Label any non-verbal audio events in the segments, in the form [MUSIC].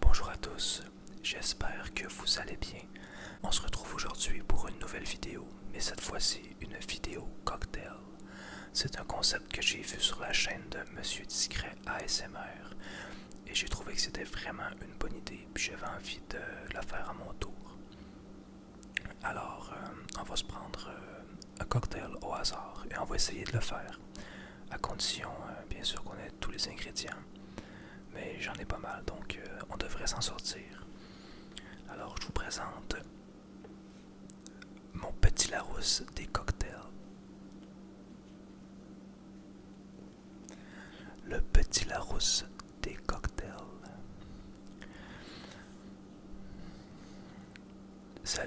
Bonjour à tous, j'espère que vous allez bien. On se retrouve aujourd'hui pour une nouvelle vidéo, mais cette fois-ci une vidéo cocktail. C'est un concept que j'ai vu sur la chaîne de Monsieur Discret ASMR et j'ai trouvé que c'était vraiment une bonne idée puis j'avais envie de la faire à mon tour. Alors, euh, on va se prendre euh, un cocktail au hasard et on va essayer de le faire à condition euh, bien sûr qu'on ait tous les ingrédients. Mais j'en ai pas mal, donc euh, on devrait s'en sortir. Alors je vous présente mon petit Larousse des cocktails. Le petit Larousse des cocktails. Ça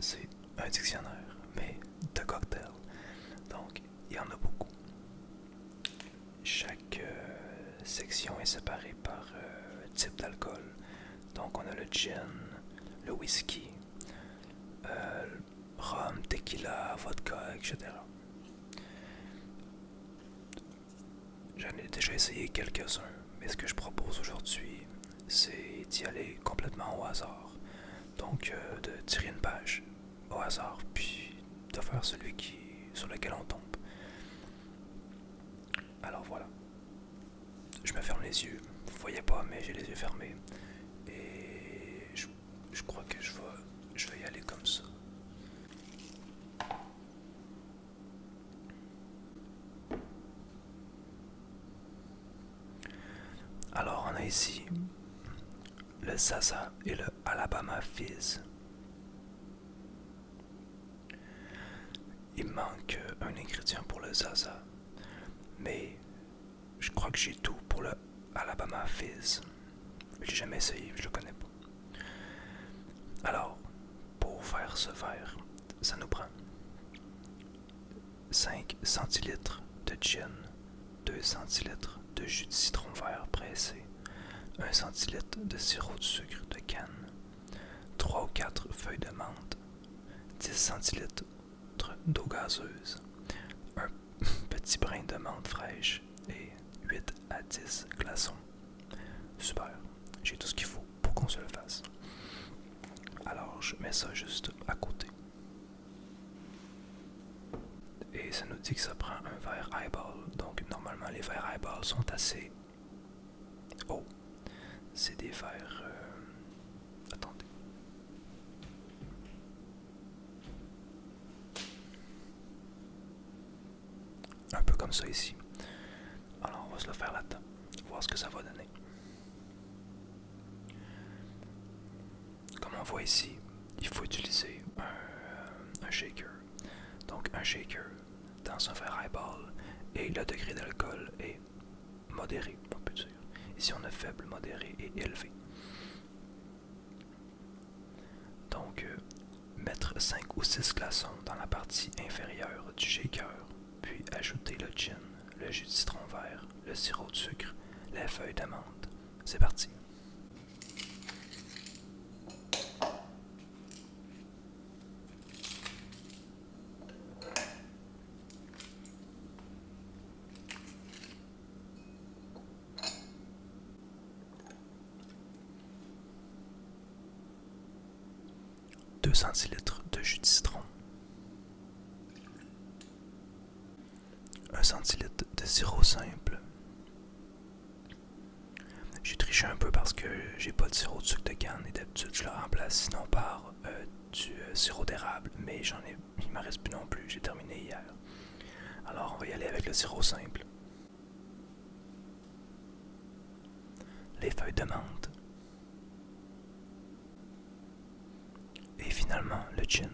c'est un dictionnaire, mais de cocktail. Donc, il y en a beaucoup. Chaque euh, section est séparée par euh, type d'alcool. Donc, on a le gin, le whisky, euh, rhum, tequila, vodka, etc. J'en ai déjà essayé quelques-uns, mais ce que je propose aujourd'hui, c'est d'y aller complètement au hasard. Donc euh, de tirer une page au hasard, puis de faire celui qui, sur lequel on tombe. Alors voilà. Je me ferme les yeux. Vous voyez pas, mais j'ai les yeux fermés. Et je, crois que je vais y aller comme ça. Alors on a ici le Sasa et le Alabama Fizz. Il manque un ingrédient pour le Zaza, mais je crois que j'ai tout pour le Alabama Fizz. J'ai jamais essayé, je le connais pas. Alors, pour faire ce verre, ça nous prend 5 centilitres de gin, 2 centilitres de jus de citron vert pressé, 1 cl de sirop de sucre de canne, 3 ou 4 feuilles de menthe, 10 centilitres d'eau gazeuse, un [LAUGHS] petit brin de menthe fraîche et 8 à 10 glaçons. Super, j'ai tout ce qu'il faut pour qu'on se le fasse. Alors je mets ça juste à côté. Et ça nous dit que ça prend un verre eyeball. Donc normalement les verres eyeball sont assez... Oh, c'est des verres... Euh, attendez. Un peu comme ça ici. Alors on va se le faire là-dedans. Voir ce que ça va donner. Comme on voit ici, il faut utiliser un, shaker. Donc un shaker dans un verre eyeball et le degré d'alcool est modéré, on peut dire. Ici on a faible, modéré et élevé. Donc, euh, mettre 5 ou 6 glaçons dans la partie inférieure du shaker puis ajoutez le gin, le jus de citron vert, le sirop de sucre, la feuille d'amande. C'est parti. 2 centilitres de jus de citron, 1 centilitre de sirop simple. J'ai triché un peu parce que j'ai pas de sirop de sucre de canne et d'habitude je le remplace sinon par euh, du euh, sirop d'érable, mais j'en ai, il m'en reste plus non plus, j'ai terminé hier. Alors on va y aller avec le sirop simple les feuilles de menthe et finalement le gin.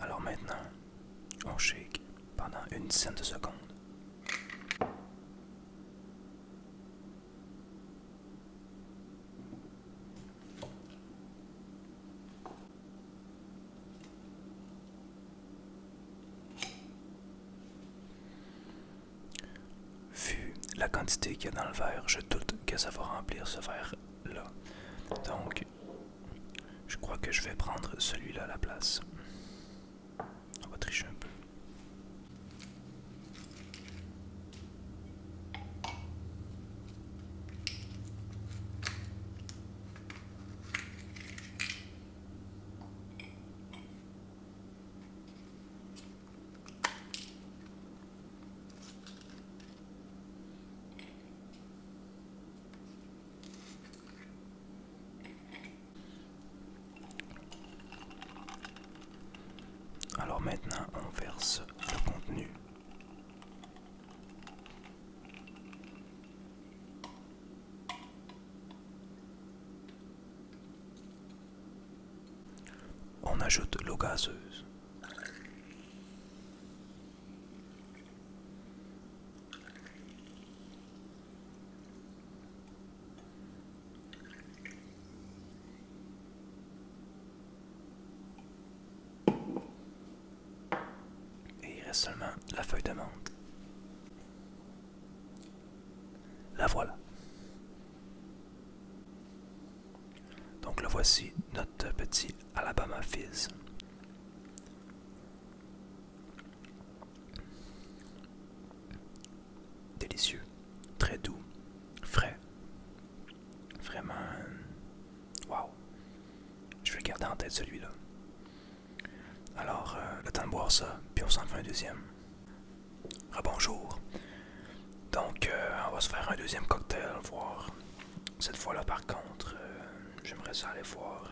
Alors maintenant, on shake pendant une dizaine de secondes. Vu la quantité qu'il y a dans le verre, je doute que ça va remplir ce verre-là. Donc, je crois que je vais prendre celui-là à la place. On va tricher un peu. Alors maintenant, on verse le contenu. On ajoute l'eau gazeuse. Et il reste seulement la feuille de menthe. La voilà. Donc le voici, notre petit Alabama Fizz. Délicieux, très doux, frais. Vraiment Waouh. Je vais garder en tête celui-là. Alors, euh, le temps de boire ça, puis on s'en fait un deuxième. Rebonjour. Donc, euh, on va se faire un deuxième cocktail, voir. Cette fois-là, par contre, euh, j'aimerais ça aller voir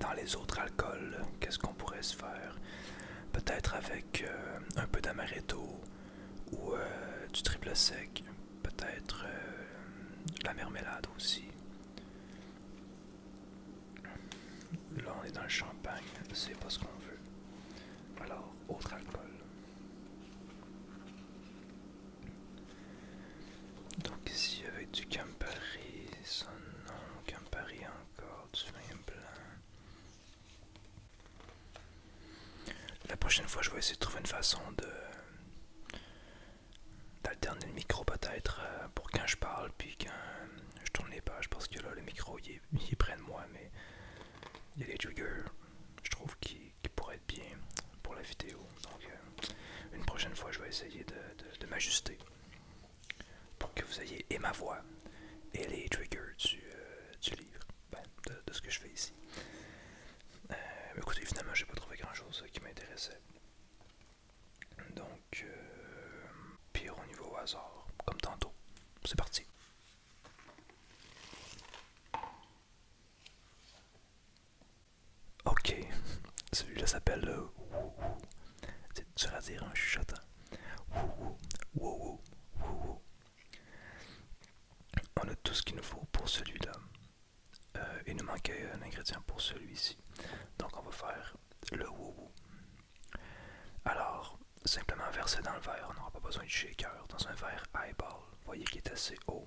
dans les autres alcools, qu'est-ce qu'on pourrait se faire. Peut-être avec un peu d'amaretto ou du triple sec, peut-être euh, la marmelade aussi. Là, on est dans le champagne, c'est pas ce qu'on veut. Alors, autre alcool. Donc, ici avec du Campari, ça non, Campari encore, du vin blanc. La prochaine fois, je vais essayer de trouver une façon de d'alterner le micro peut-être euh, pour quand je parle puis quand je tourne les pages parce que là le micro il est, près de moi mais il y a les triggers je trouve qui, pourraient être bien pour la vidéo donc euh, une prochaine fois je vais essayer de, m'ajuster pour que vous ayez et ma voix et les triggers du euh, livre ben, de, ce que je fais ici. Euh, mais écoutez, finalement, j'ai pas trouvé grand chose qui m'intéressait. Donc, euh, pire au niveau hasard, comme tantôt. C'est parti. Ok, celui-là s'appelle euh, C'est dire hein, on a tout ce qu'il nous faut pour celui-là. Euh, il nous manquait un ingrédient pour celui-ci. Donc on va faire le woo-woo. Alors, simplement verser dans le verre. On n'aura pas besoin de shaker. Dans un verre eyeball, vous voyez qu'il est assez haut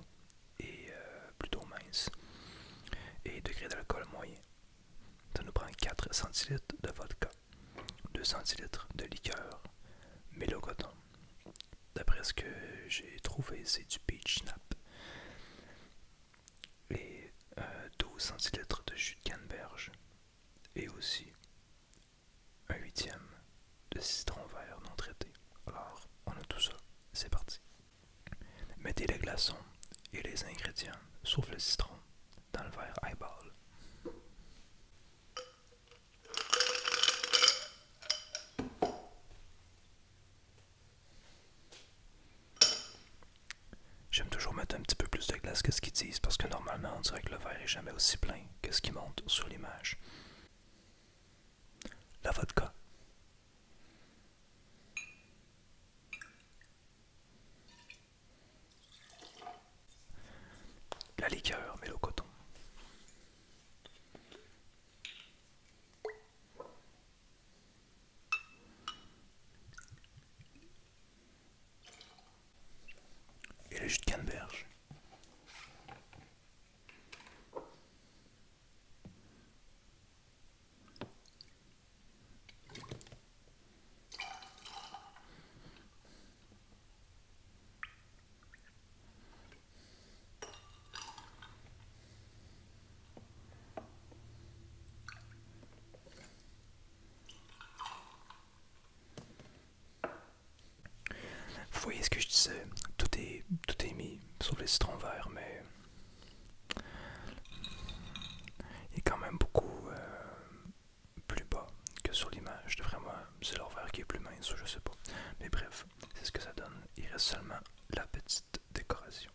et euh, plutôt mince. Et degré d'alcool moyen. Ça nous prend 4 cl de vodka, 2 centilitres de liqueur, mélocoton, D'après ce que j'ai trouvé, c'est du peach nap, les 12 cl de jus de canneberge. Et aussi un huitième de citron vert non traité. Alors, on a tout ça. C'est parti. Mettez les glaçons et les ingrédients, sauf le citron, dans le verre eyeball. J'aime toujours mettre un petit peu plus de glace que ce qu'ils disent parce que normalement on dirait que le verre est jamais aussi plein que ce qui monte sur l'image. La vodka. La liqueur mais le coton. Et le jus de canneberge. Vous voyez ce que je disais, tout est, tout est mis, sauf les citrons verts, mais il y a quand même beaucoup euh, plus bas que sur l'image. moi. c'est leur qui est plus mince ou je sais pas. Mais bref, c'est ce que ça donne. Il reste seulement la petite décoration.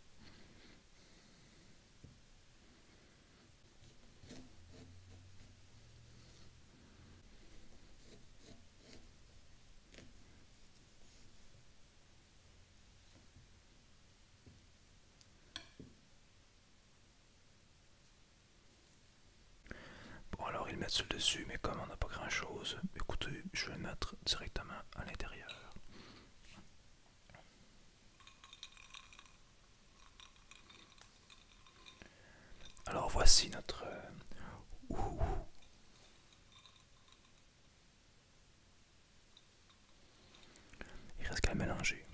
Bon alors ils mettent sur le dessus, mais comme on n'a pas grand chose, écoutez, je vais mettre directement à l'intérieur. Alors voici notre... Euh, Il reste qu'à mélanger.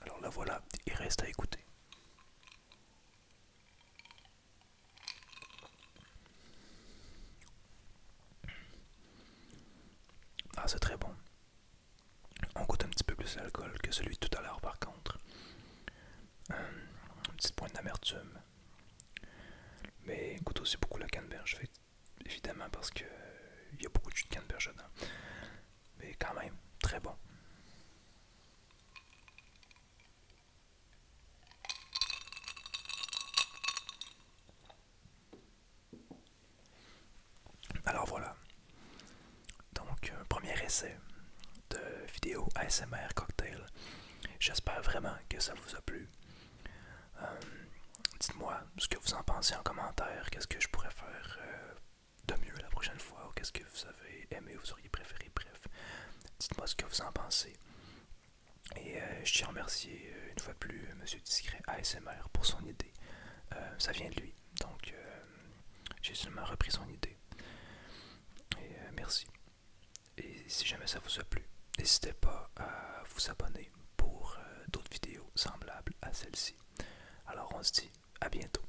Alors la voilà, il reste à écouter. Ah, c'est très bon. On goûte un petit peu plus d'alcool que celui de tout à l'heure, par contre. Euh, un petit point d'amertume. Mais goûte aussi beaucoup la canneberge, évidemment, parce que il y a beaucoup de jus de canneberge dedans. Mais quand même, très bon. Alors voilà, donc un euh, premier essai de vidéo ASMR cocktail. J'espère vraiment que ça vous a plu. Euh, dites-moi ce que vous en pensez en commentaire, qu'est-ce que je pourrais faire euh, de mieux la prochaine fois, qu'est-ce que vous avez aimé, vous auriez préféré dites-moi ce que vous en pensez. Et euh, je tiens à remercier euh, une fois plus euh, Monsieur Discret ASMR pour son idée. ça vient de lui, donc j'ai seulement repris son idée. Et merci. Et si jamais ça vous a plu, n'hésitez pas à vous abonner pour d'autres vidéos semblables à celle-ci. Alors on se dit à bientôt.